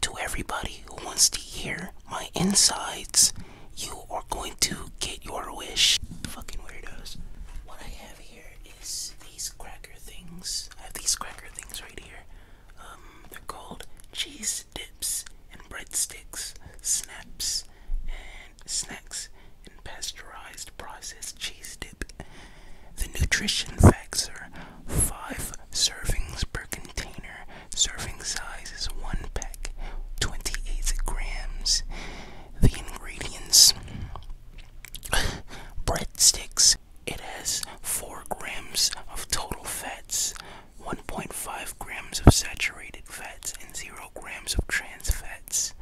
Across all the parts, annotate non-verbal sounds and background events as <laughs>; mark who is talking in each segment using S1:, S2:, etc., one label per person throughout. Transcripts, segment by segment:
S1: To everybody who wants to hear my insides, you are going to get your wish. Fucking weirdos. What I have here is these cracker things. I have these cracker things right here. Um, they're called cheese dips and breadsticks, snaps and snacks, and pasteurized processed cheese dip. The nutrition facts are five servings per container. Serving size is one pack, 28 grams. The ingredients <sighs> breadsticks. It has 4 grams of total fats, 1.5 grams of saturated fats, and 0 grams of trans fats.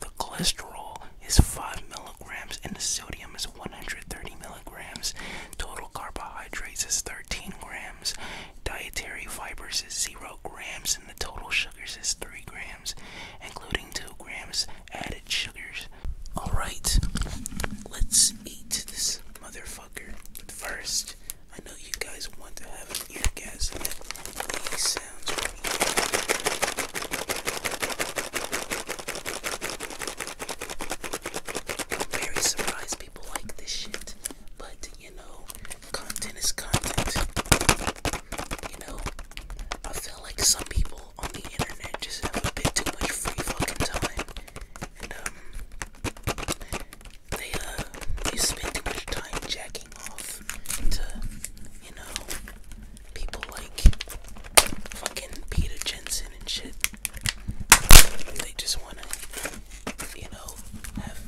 S1: The cholesterol is 5 milligrams and the sodium is 130 milligrams. Grams Total carbohydrates is 13 grams. Dietary fibers is 0 grams, and the total sugars is 3 grams, including 2 grams added sugars. Alright, let's eat this motherfucker. first, I know you guys want to have an eargasm at these sounds i very surprised people like this shit. But you know, content is content. You know, I feel like some people on the internet just have a bit too much free fucking time. And um they uh they spend too much time jacking off to, you know, people like fucking Peter Jensen and shit. They just wanna, you know, have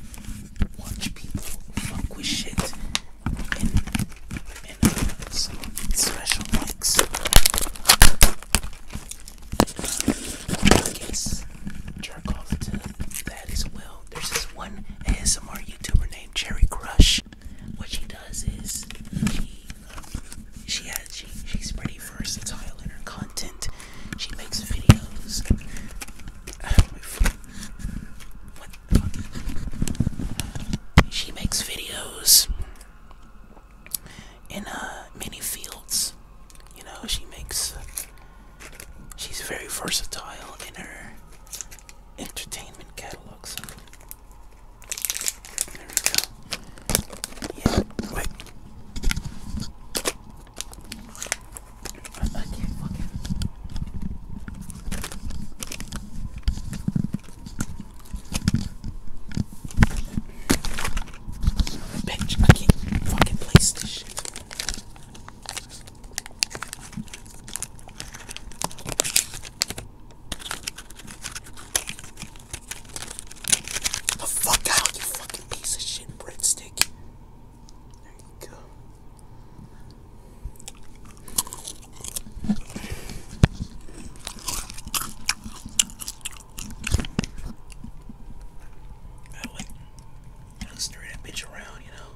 S1: watch people fuck with shit and and uh, some special likes. Uh, I guess jerk off to that as well. There's this one ASMR YouTuber named Cherry Crush what she does is she she uh, has she, she's pretty versatile in her content. She makes videos. What She makes videos in uh, many fields. You know, she makes. She's very versatile in her entertainment catalog. There we go. Yeah, wait. I can't fucking. Bitch, I can't fucking place this shit. The fuck out, you fucking piece of shit breadstick. There you go. I like, I just turn that bitch around, you know.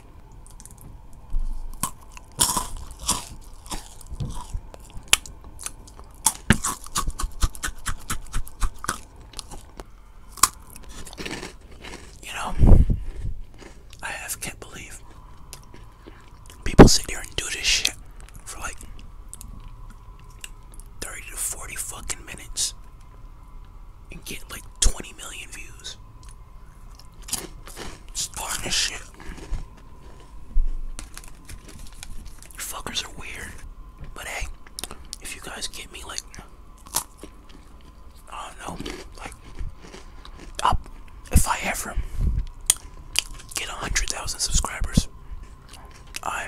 S1: You know, I have can't believe people sit there and do this shit for like 30 to 40 fucking minutes and get like 20 million views. Starting this shit. You fuckers are weird. But hey, if you guys get me like, I don't know, like, up, if I ever get 100,000 subscribers, I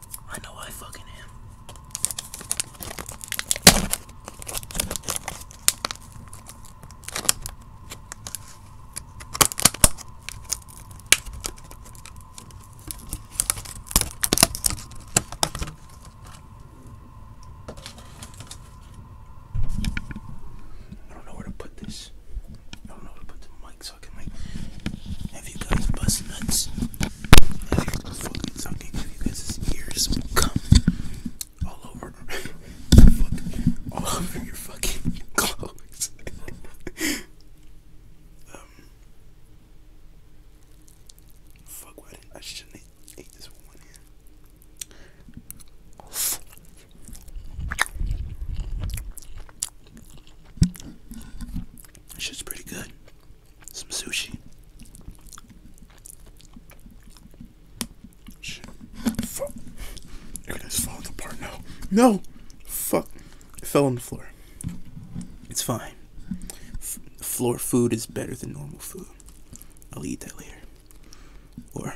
S1: I know I fucking am. I don't know where to put this. I don't know where to put the mic. I can like have you guys bust nuts, fucking sucking, have you guys' ears come all over, <laughs> all over your fucking clothes. <laughs> um, fuck! Why did I shouldn't eat this one here? Shit's pretty good. Some sushi. Shit. Fuck. Everything's falling apart now. No! Fuck. It fell on the floor. It's fine. floor food is better than normal food. I'll eat that later. Or.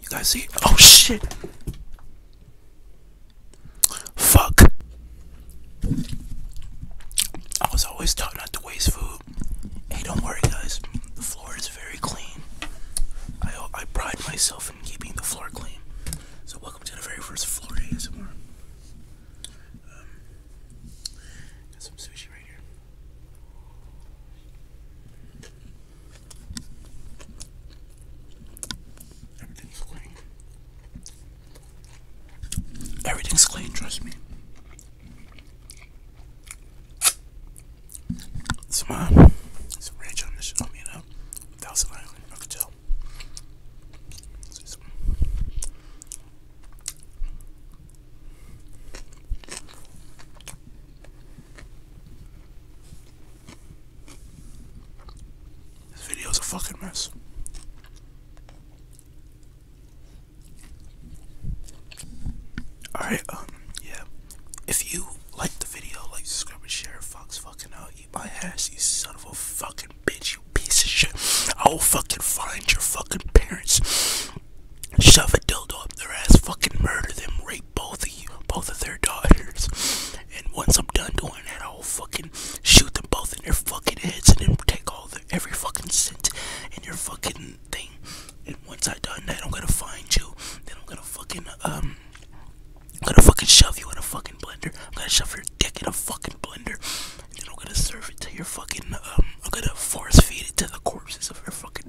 S1: you guys see? Oh shit! Fuck! I was always taught not to waste food. Hey, don't worry, guys. The floor is very clean. I I pride myself in keeping the floor clean. So welcome to the very first floor ASMR. Um, got some sushi right here. Everything's clean. Everything's clean, trust me. It's It's a rage on this on me, you Thousand Island, I could tell. This video is a fucking mess. Alright, um, yeah. If you like the video, like, subscribe, and share, Fox fucking out, eat my ass, you son of a fucking bitch, piece of shit. I'll fucking find your fucking parents. Shove a dildo up their ass, fucking murder them, rape both of you, both of their daughters. And once I'm done doing that, I'll fucking shoot them both in their fucking heads and then take all the every fucking cent in your fucking thing. And once I done that, I'm gonna find you. Then I'm gonna fucking um, I'm gonna fucking shove you in a fucking blender. I'm gonna shove your dick in a fucking blender. I'm gonna serve it to your fucking, um, I'm gonna force feed it to the corpses of your fucking.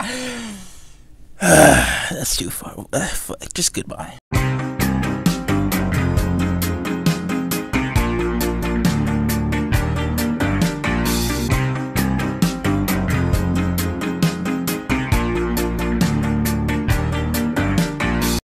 S1: <sighs> that's too far. Uh, fuck. Just goodbye.